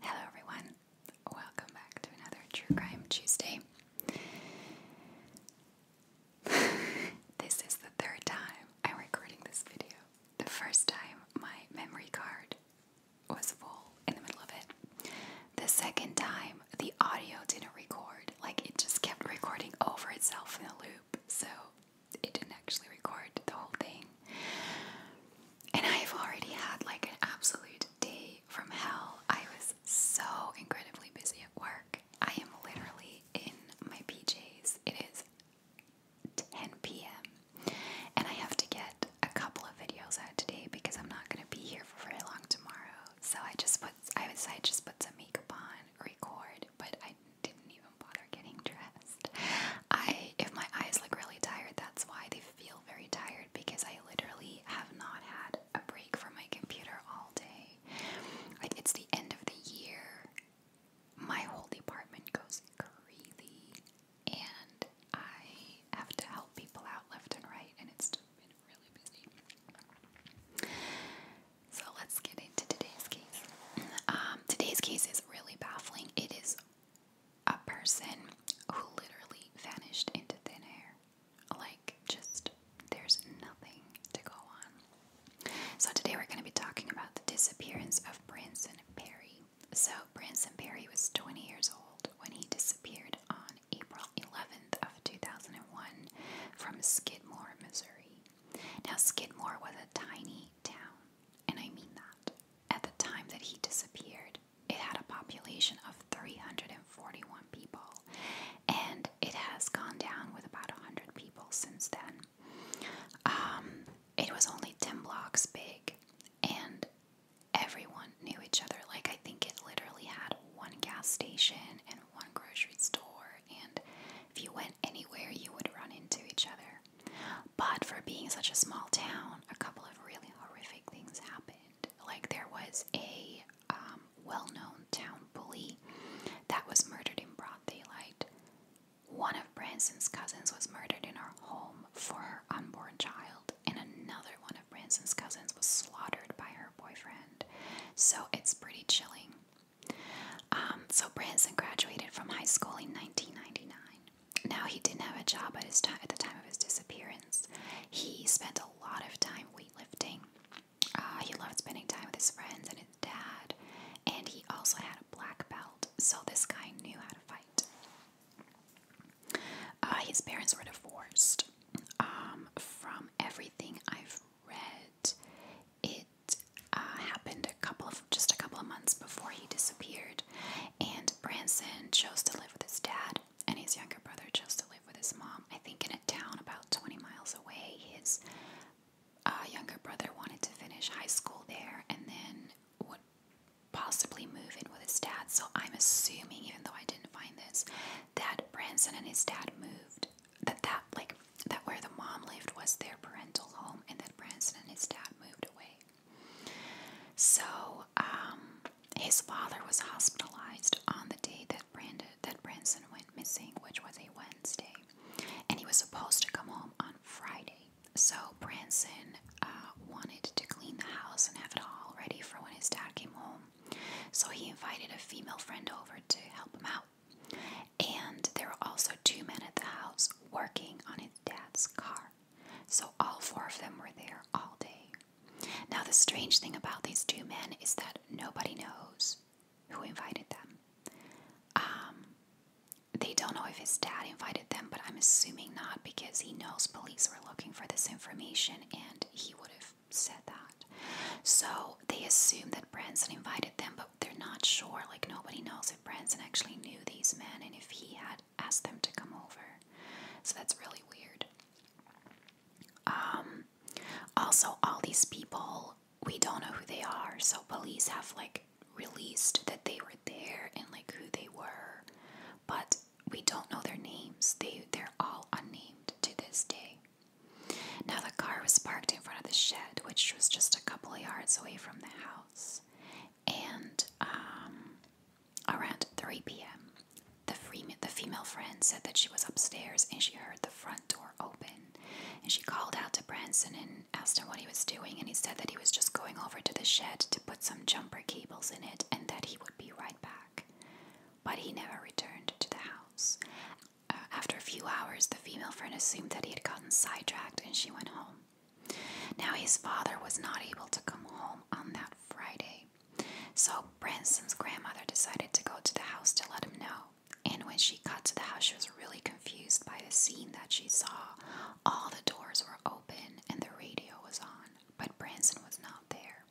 Hello, everyone. Welcome back to another True Crime Tuesday. this is the third time I'm recording this video. The first time, my memory card was full in the middle of it. The second time, the audio didn't record, like it just kept recording over itself in a loop. So it didn't actually record the whole thing. And I've already had like an absolute day from hell. I was so incredibly busy at work. I am literally in my PJs. It is 10 p.m. and I have to get a couple of videos out today because I'm not going to be here for very long tomorrow. So I just put I would say I just put some makeup on, record, but I I didn't even bother getting dressed. I if my eyes look really tired, that's why they feel very tired because I literally have not had a break from my computer all day. it's the end of the year. My whole department goes crazy and I have to help people out left and right and it's just been really busy. So let's get into today's case. Um, today's case is really baffling. It is a person who literally vanished into thin air. Like, just there's nothing to go on. So, today we're going to be talking about the disappearance of Branson Perry. So, Branson Perry was 20 years old when he disappeared on April 11th of 2001 from Skidmore, Missouri. Now, Skidmore was a tiny town, and I mean that. At the time that he disappeared, it had a population of 341 people, and it has gone down with about 100 people since then. Um, it was only 10 blocks big, and everyone knew each other. Like, I think it literally had one gas station and one grocery store, and if you went anywhere you would run into each other. But for being such a small town, a couple of really horrific things happened. Like there was a um, well known town bully that was murdered in broad daylight. One of Branson's cousins was murdered in her home for her unborn child, and another one of Branson's cousins was slaughtered by her boyfriend. So it's pretty chilling. Um, so Branson graduated from high school in 1999. Now he didn't have a job at his time at the time of his disappearance. He spent a lot of time weightlifting. Uh, he loved spending time with his friends and his dad, and he also had a black belt. So this guy knew how to fight. Uh, his parents were divorced. Um, from everything I've read, it uh, happened a couple of just a couple of months before he disappeared, and Branson chose to live with his dad, and his younger brother chose to live with his mom. I think in a town about 20 miles away, his uh, younger brother wanted to finish high school there, and then would possibly move in with his dad. So I'm assuming, even though I didn't find this, that Branson and his dad moved. That that like that where the mom lived was their parental home and that Branson and his dad moved away. So um, his father was hospitalized on the day that Branson went missing, which was a Wednesday, and he was supposed to come home on Friday. So Branson uh, wanted to clean the house and have it all ready for when his dad came home. So he invited a female friend over to help him out. And there were also two men at the house working on his dad's car. So all four of them were there all day. Now, the strange thing about these two men is that nobody knows who invited them. Um, they don't know if his dad invited them, but I'm assuming not because he knows police were looking for this information and he would have said that. So they assume that Branson invited them, but they're not sure. Like nobody knows if Branson actually knew these men and if he had asked them to come over. So that's really weird. Um, also, all these people we don't know who they are. So police have like released that they were there and like who they were, but we don't know their names. They they're all unnamed to this day. Now, the car was parked in front of the shed, which was just a couple of yards away from the house. And um, around 3 p.m., the, the female friend said that she was upstairs and she heard the front door open. And she called out to Branson and asked him what he was doing. And he said that he was just going over to the shed to put some jumper cables in it and that he would be right back. But he never returned to the house. Uh, after a few hours, the female friend assumed that he had gotten sidetracked and she went home. Now, his father was not able to come home on that Friday, so Branson's grandmother decided to go to the house to let him know. And when she got to the house, she was really confused by the scene that she saw. All the doors were open and the radio was on, but Branson was not there.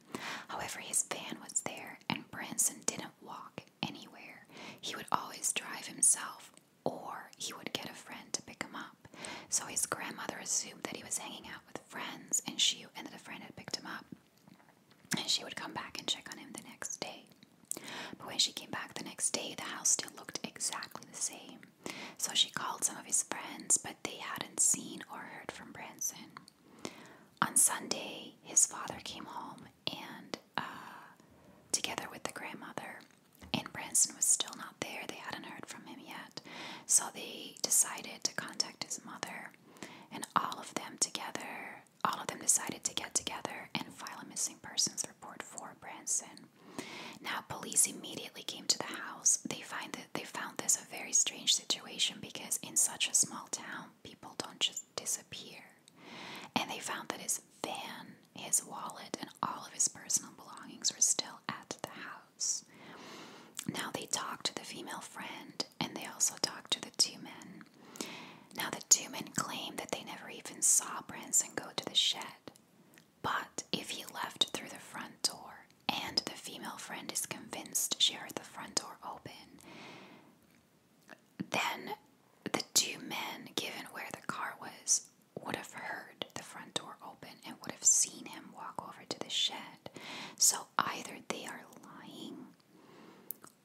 However, his van was there, and Branson didn't walk, anywhere. He would always drive himself, or he would get a friend to pick him up. So his grandmother assumed that he was hanging out with friends, and she ended that a friend had picked him up. And she would come back and check on him the next day. But when she came back the next day, the house still looked exactly the same. So she called some of his friends, but they hadn't seen or heard from Branson. On Sunday, his father came home and uh, together with the grandmother. And Branson was still not there, they hadn't heard from him yet. So they decided to contact his mother, and all of them together, all of them decided to get together and file a missing persons report for Branson. Now, police immediately came to the house. They find that they found this a very strange situation because in such a small town, people don't just disappear. And they found that his van, his wallet, and all of his personal belongings were still at the house. Now they talked to the female friend and they also talked to the two men. Now the two men claim that they never even saw Branson go to the shed. But if he left through the front door and the female friend is convinced she heard the front door open, then the two men, given where the car was, would have heard the front door open and would have seen him walk over to the shed. So either they are lying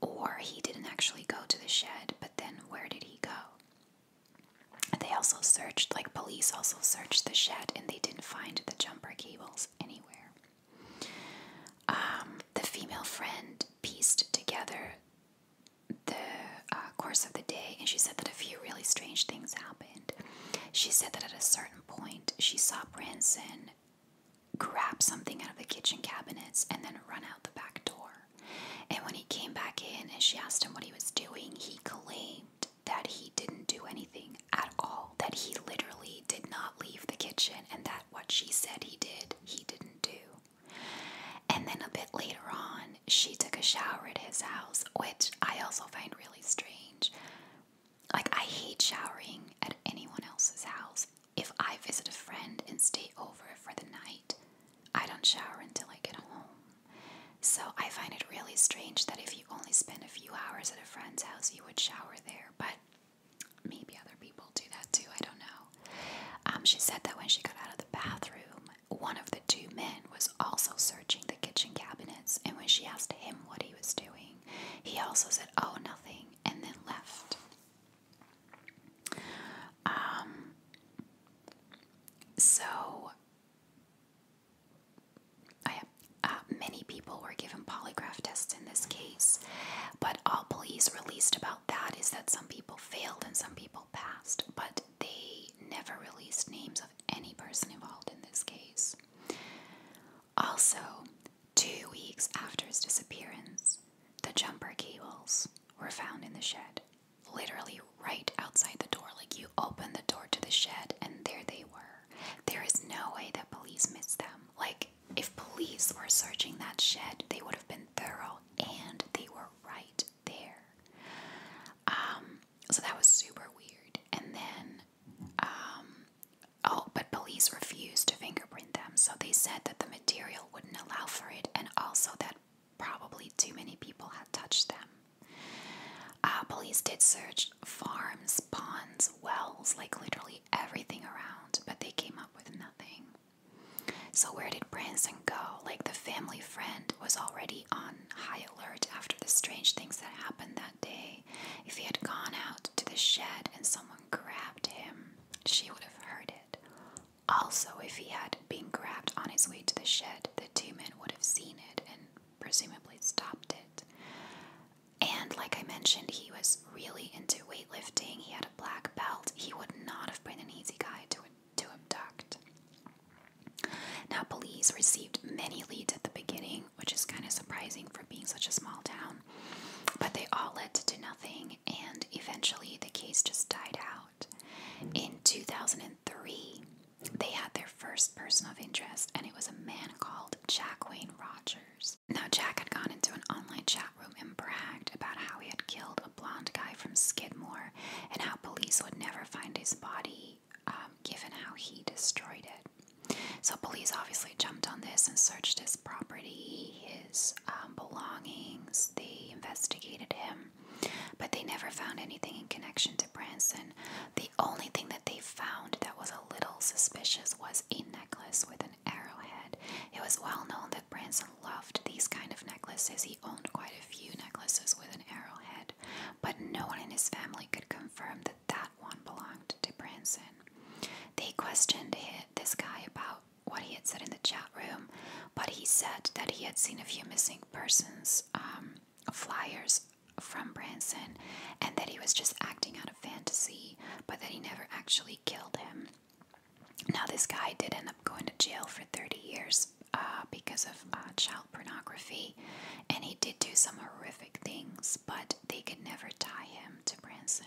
or he didn't actually go to the shed, but then where did he go? They also searched, like police also searched the shed and they didn't find the jumper cables anywhere. Um, the female friend pieced together the uh, course of the day, and she said that a few really strange things happened. She said that at a certain point, she saw Branson grab something out of the kitchen cabinets and then run out the back door. And when he came back in and she asked him what he was doing, he claimed that he didn't do anything at all, that he literally did not leave the kitchen, and that what she said he did, he didn't do. And then a bit later on, she took a shower at his house, which I also find really strange. Like, I hate showering at anyone else's house. If I visit a friend and stay over for the night, I don't shower until I get home. So I find it really strange that if you only spend a few hours at a friend's house, you would shower there. But Maybe other people do that too, I don't know. Um, she said that when she got out of the bathroom, one of the two men was also searching the kitchen cabinets, and when she asked him what he was doing, he also said, Oh, nothing, and then left. Um, so, I, uh, many people were given polygraph tests in this case, but all police released about that is that some people failed and some people passed, but they never released names of any person involved in this case. Also, two weeks after his disappearance, the jumper cables were found in the shed, literally right outside the door. Like you open the door to the shed, and there they were. There is no way that police missed them. Like, if police were searching that shed, they would have been thorough and they were right there. Um, so that was super weird. And then, um, oh, but police refused to fingerprint them. So they said that the material wouldn't allow for it and also that probably too many people had touched them. Uh, police did search farms, ponds, wells, like literally everything around, but they came up with nothing. So, where did Branson go? Like, the family friend was already on high alert after the strange things that happened that day. If he had gone out to the shed and someone grabbed him, she would have heard it. Also, if he had been grabbed on his way to the shed, the two men would have seen it and presumably stopped it. And, like I mentioned, he was really into weightlifting. He had black belt, he would not have been an easy guy to, to abduct. Now, police received many leads at the beginning, which is kind of surprising for being such a small town, but they all led to nothing, and eventually the case just died out. In 2003, they had their first person of interest, and it was a man called Jack Wayne Rogers. Now, Jack had gone into an online chat room and bragged about how he had killed a blonde guy from Skidmore and how police would never find his body um, given how he destroyed it. So, police obviously jumped on this and searched his property, his um, belongings, they investigated him, but they never found anything in connection to Branson. The only thing that they found that was a little suspicious was a necklace with an arrowhead. It was well known that Branson loved these kind of necklaces. He owned quite a few necklaces with an arrowhead, but no one in his family could confirm that that one belonged to Branson. They questioned this guy about what he had said in the chat room, but he said that he had seen a few missing persons um, flyers from Branson and that he was just acting out of fantasy, but that he never actually killed him. Now, this guy did end up going to jail for 30 years uh, because of uh, child pornography, and he did do some horrific things, but they could never tie him to Branson.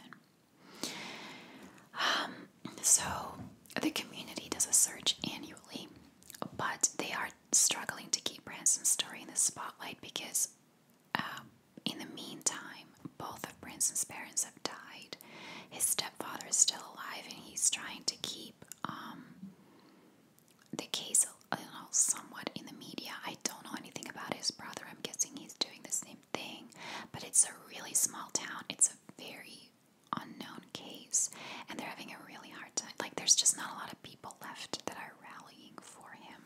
Um, so, the community does a search annually, but they are struggling to keep Branson's story in the spotlight because uh, in the meantime, both of Prince's parents have died. His stepfather is still alive, and he's trying to keep um, the case you know, somewhat in the media. I don't know anything about his brother. I'm guessing he's doing the same thing, but it's a really small town. It's a very unknown case, and they're having a really hard time. Like, there's just not a lot of people left that are rallying for him.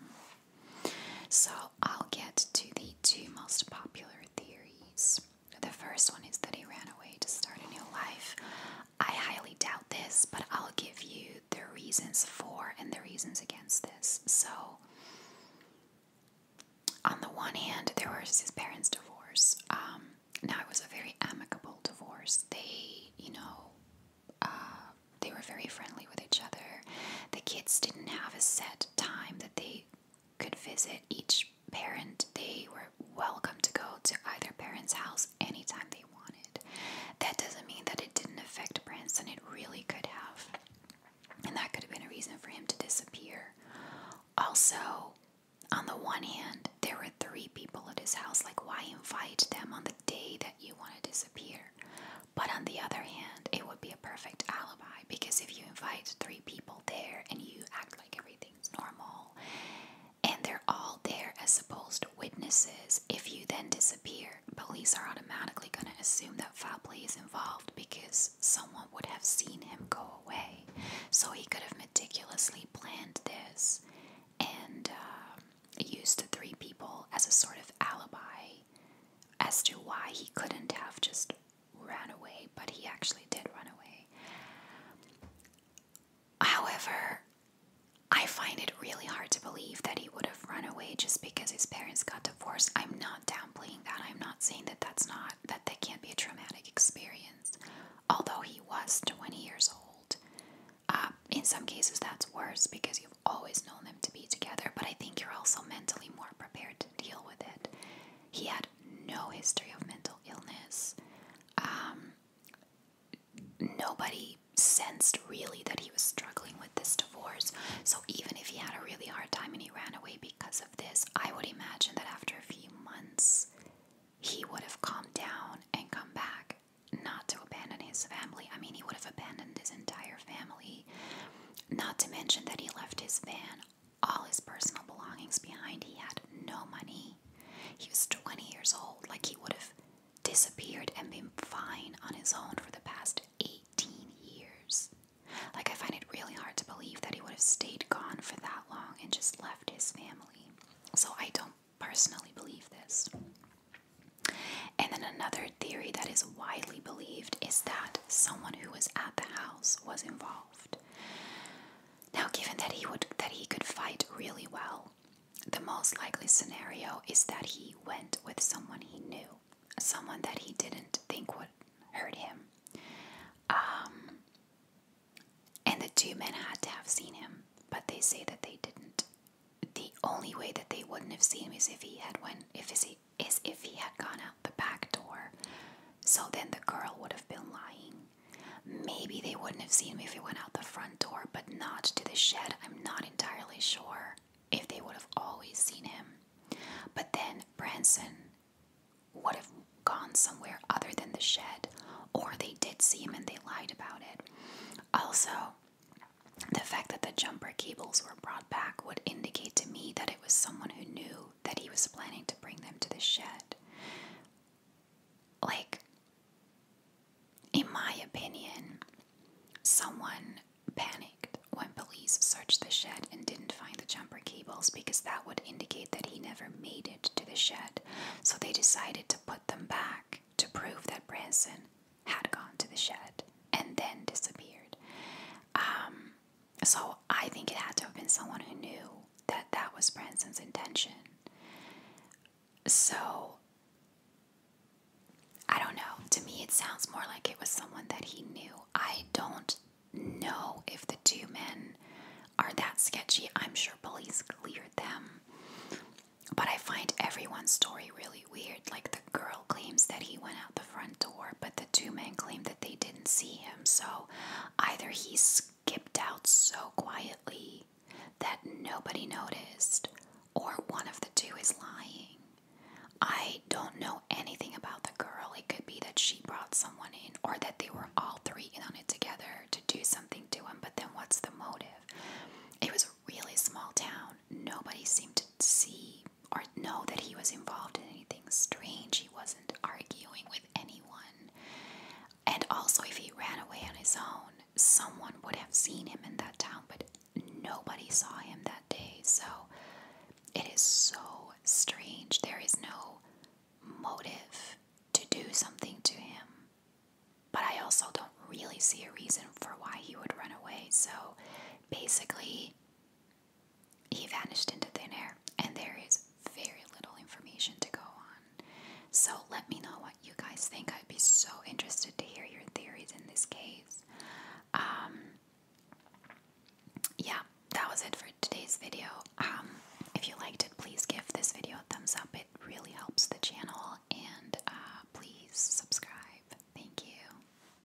So I'll get to the two most popular theories. The first one is that he ran away to start a new life. I highly doubt this, but I'll give you the reasons for and the reasons against this. So, on the one hand, there was his parents' divorce. Um, now it was a very amicable divorce. They, you know, uh, they were very friendly with each other. The kids didn't have a set time that they could visit each parent. They were welcome to go to either parent's house anytime they wanted. That doesn't mean that it didn't affect Branson, it really could have. And that could have been a reason for him to disappear. Also, on the one hand, there were three people at his house. Like, why invite them on the day that you want to disappear? But on the other hand, it would be a perfect alibi because if you invite three people there and you act like everything's normal and they're all there as supposed witnesses, if you then disappear, police are automatically going to assume that Fabley is involved because someone would have seen him go away. So he could have meticulously planned this and uh, used the three people as a sort of alibi as to why he couldn't have just ran away, but he actually did run away. However, I find it really hard to believe that he would have run away just because his parents got divorced. I'm not downplaying that. I'm not saying that that's not, that that can't be a traumatic experience. Although he was 20 years old. Uh, in some cases, that's worse because you've always known them to be together, but I think you're also mentally more prepared deal with it. He had no history of mental illness. Um, nobody sensed really that he was struggling with this divorce. So even if he had a really hard time and he ran away because of this, I would imagine that after a few months he would have calmed down and come back, not to abandon his family. I mean, he would have abandoned his entire family. Not to mention that he left his van, all his personal belongings behind. He had no money. He was 20 years old, like he would have disappeared and been fine on his own for the past 18 years. Like, I find it really hard to believe that he would have stayed gone for that long and just left his family. So, I don't personally believe this. And then another theory that is widely believed is that someone who was at the house was involved. Now, given that he would that he could fight really well, the most likely scenario is that he went with someone he knew, someone that he didn't think would hurt him. Um, and the two men had to have seen him, but they say that they didn't. The only way that they wouldn't have seen him is if he had went if he is if he had gone out the back door. So then the girl would have been lying. Maybe they wouldn't have seen him if he went out the front door, but not to the shed. I'm not entirely sure if they would have always seen him. But then Branson would have gone somewhere other than the shed, or they did see him and they lied about it. Also, the fact that the jumper cables were brought would indicate to me that it was someone who knew that he was planning to bring them to the shed. Like, in my opinion, someone panicked when police searched the shed and didn't find the jumper cables because that would indicate that he never made it to the shed. So they decided to put them back to prove that Branson had gone to the shed and then disappeared. Um, so I think it had to have been someone who knew that that was Branson's intention. So I don't know. To me, it sounds more like it was someone that he knew. I don't know if the two men are that sketchy. I'm sure police cleared them. But I find everyone's story really weird. Like back, the girl claims that he went out the front door, but the two men claim that they didn't see him. So either he skipped out so quietly that nobody noticed, or one of the two is lying. I don't know anything about the girl. It could be that she brought someone in, or that they were all three in on it together to do something to him, but then what's the motive? It was a really small town. Nobody seemed to see or know that he was involved in anything strange. He wasn't arguing with anyone. And also, if he ran away on his own, someone would have seen him in that town, but nobody saw him that day. So it is so strange. There is no motive to do something to him. But I also don't really see a reason for why he would run away. So basically, he vanished into thin air, and there is very little information to go on. So let me know what you guys think. I'd be so interested to hear your theories in this case. Um, yeah, that was it for today's video. Um, if you liked it, please give this video a thumbs up. It really helps the channel, and uh, please subscribe. Thank you.